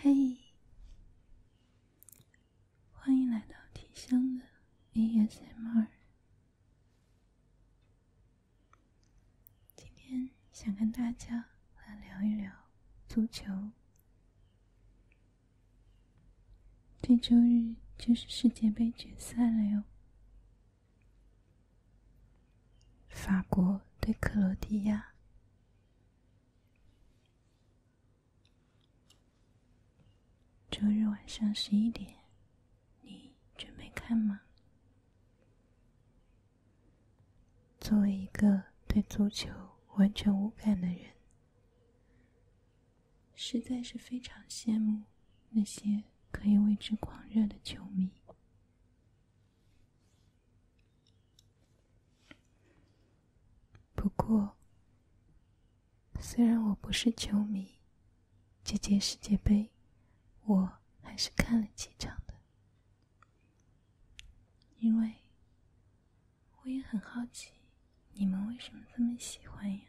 嘿，欢迎来到提香的 ASMR。今天想跟大家来聊一聊足球。这周日就是世界杯决赛了哟。法国对克罗地亚，周日晚上十一点，你准备看吗？作为一个对足球完全无感的人，实在是非常羡慕那些。可以为之狂热的球迷。不过，虽然我不是球迷，这届世界杯我还是看了几场的，因为我也很好奇你们为什么这么喜欢呀。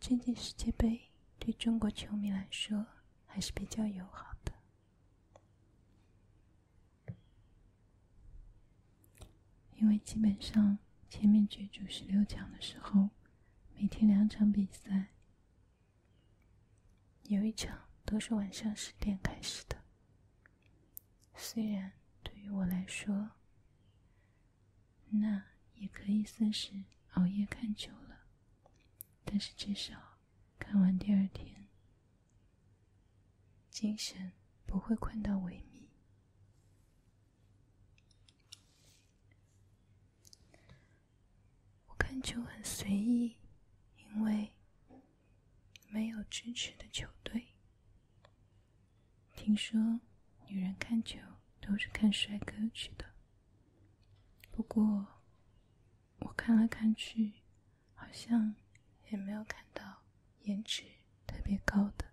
这届世界杯对中国球迷来说还是比较友好的，因为基本上前面角逐十六强的时候，每天两场比赛，有一场都是晚上十点开始的。虽然对于我来说，那也可以算是熬夜看球了，但是至少看完第二天，精神不会困到萎靡。我看球很随意，因为。没有支持的球队。听说女人看球都是看帅哥去的，不过我看来看去，好像也没有看到颜值特别高的。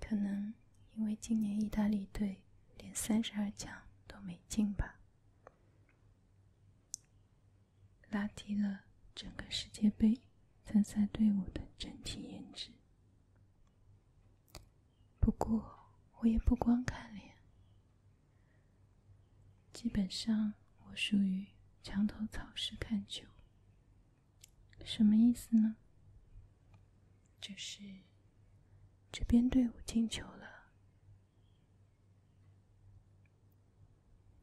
可能因为今年意大利队连三十二强都没进吧。拉低了整个世界杯参赛队伍的整体颜值。不过我也不光看脸，基本上我属于墙头草式看球。什么意思呢？就是这边队伍进球了。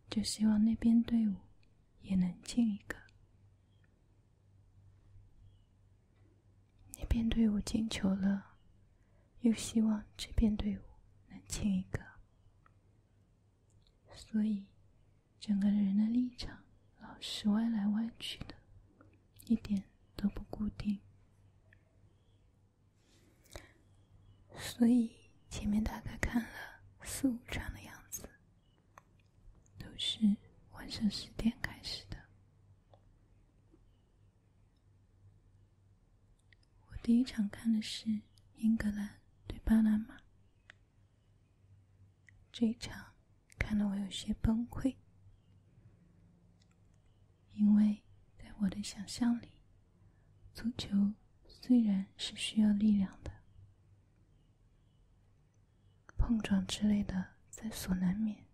就希望那边队伍也能进一个，那边队伍进球了，又希望这边队伍能进一个，所以整个人的立场老是歪来歪去的，一点都不固定。所以前面大概看了四五场的样子，都是晚上十点开始的。我第一场看的是英格兰对巴拿马，这一场看得我有些崩溃，因为在我的想象里。足球虽然是需要力量的，碰撞之类的在所难免，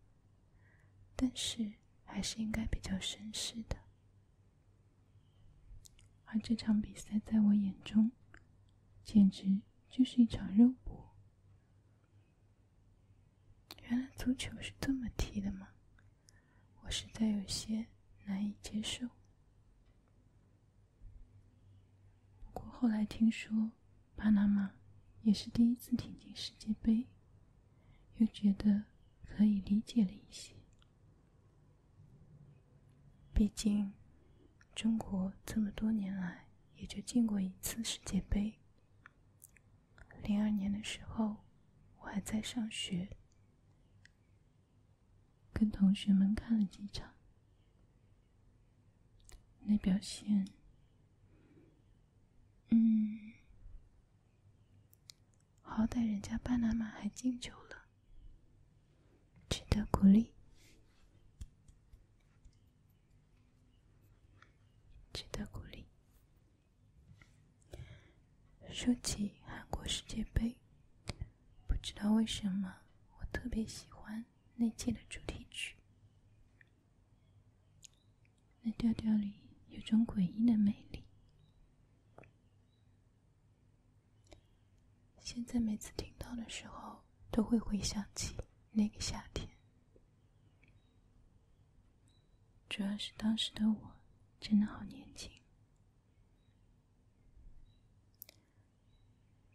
但是还是应该比较绅士的。而这场比赛在我眼中，简直就是一场肉搏。原来足球是这么踢的吗？我实在有些难以接受。不过后来听说巴拿马也是第一次挺进世界杯，又觉得可以理解了一些。毕竟中国这么多年来也就进过一次世界杯。零二年的时候，我还在上学。跟同学们看了几场，那表现，嗯，好歹人家巴拿马还进球了，值得鼓励，值得鼓励。说起韩国世界杯，不知道为什么我特别喜欢那届的主题曲。那调调里有种诡异的美丽。现在每次听到的时候，都会回想起那个夏天。主要是当时的我真的好年轻。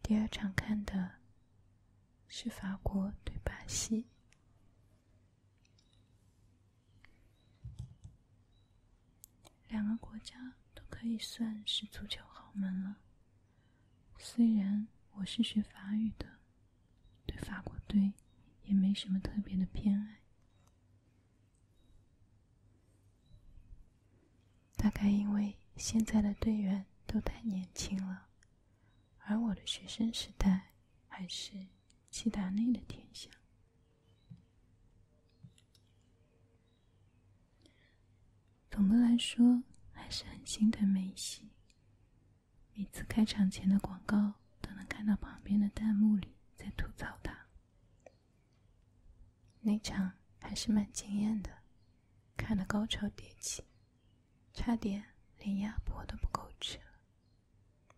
第二场看的是法国对巴西，两个国家都可以算是足球豪门了。虽然我是学法语的，对法国队也没什么特别的偏爱。大概因为现在的队员都太年轻了，而我的学生时代还是齐达内的天下。总的来说，还是很心疼梅西。每次开场前的广告。都能看到旁边的弹幕里在吐槽他。那场还是蛮惊艳的，看的高潮迭起，差点连鸭脖都不够吃了。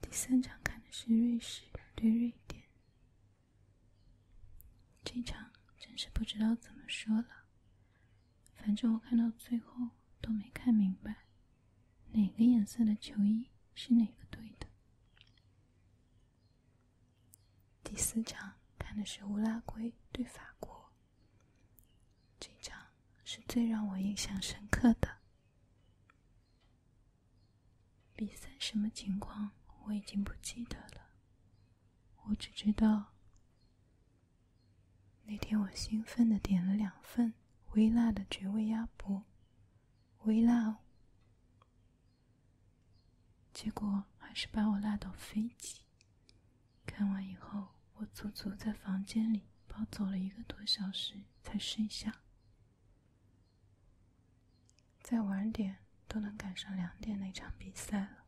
第三场看的是瑞士对瑞典，这场真是不知道怎么说了，反正我看到最后都没看明白。哪个颜色的球衣是哪个队的？第四场看的是乌拉圭对法国，这场是最让我印象深刻的。比赛什么情况我已经不记得了，我只知道。那天我兴奋的点了两份微辣的绝味鸭脖，微辣，哦，结果还是把我辣到飞起。看完以后，我足足在房间里抱走了一个多小时才睡下。再晚点都能赶上两点那场比赛了。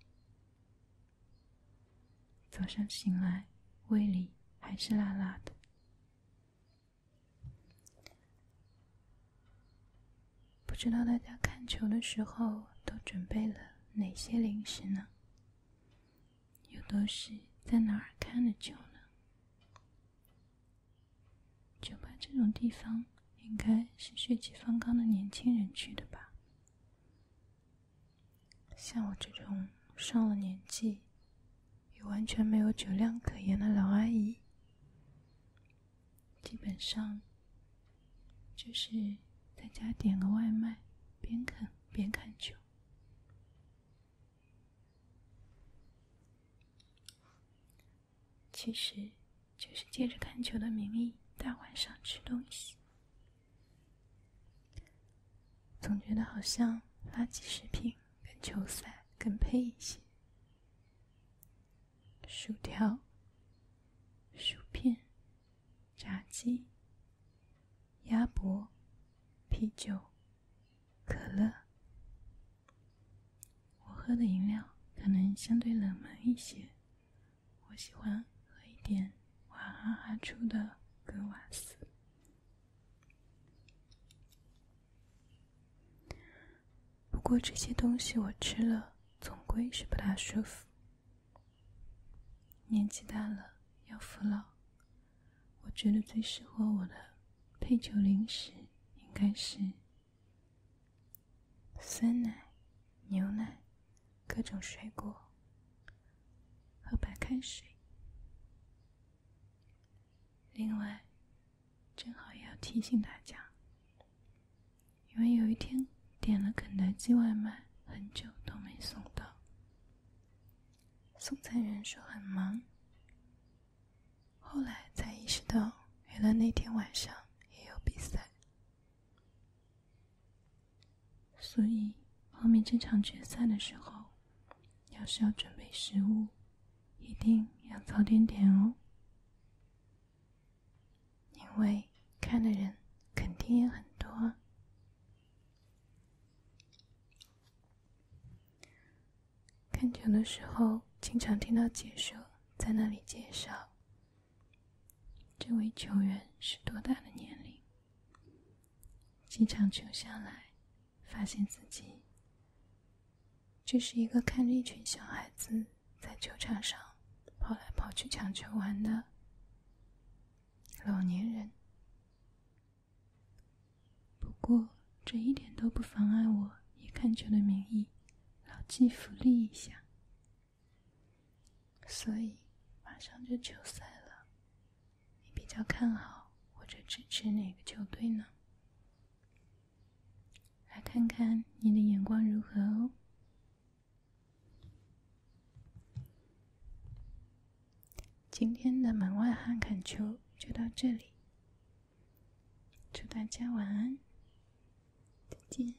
早上醒来，胃里还是辣辣的。不知道大家看球的时候都准备了哪些零食呢？又都是在哪儿看的球呢？酒吧这种地方，应该是血气方刚的年轻人去的吧？像我这种上了年纪、又完全没有酒量可言的老阿姨，基本上就是在家点个外卖，边啃边看球，其实就是借着看球的名义，大晚上吃东西。总觉得好像垃圾食品跟球赛更配一些。薯条、薯片、炸鸡、鸭脖、啤酒、可乐。我喝的饮料可能相对冷门一些。我喜欢喝一点娃哈哈出的格瓦斯，不过这些东西我吃了总归是不大舒服。年纪大了要服老，我觉得最适合我的配酒零食应该是酸奶、牛奶。各种水果，和白开水。另外，正好也要提醒大家，因为有一天点了肯德基外卖，很久都没送到，送餐员说很忙，后来才意识到，原来那天晚上也有比赛。所以后面这场决赛的时候，要是要准备食物，一定要早点点哦，因为看的人肯定也很多。看球的时候，经常听到解说在那里介绍。这位球员是多大的年龄？几场球下来，发现自己这是一个看着一群小孩子在球场上跑来跑去抢球玩的老年人。不过，这一点都不妨碍我以看球的名义老骥福利一下。所以，马上就球赛了，你比较看好或者支持哪个球队呢？来看看你的眼光如何哦。今天的门外汉看球就到这里，祝大家晚安，再见。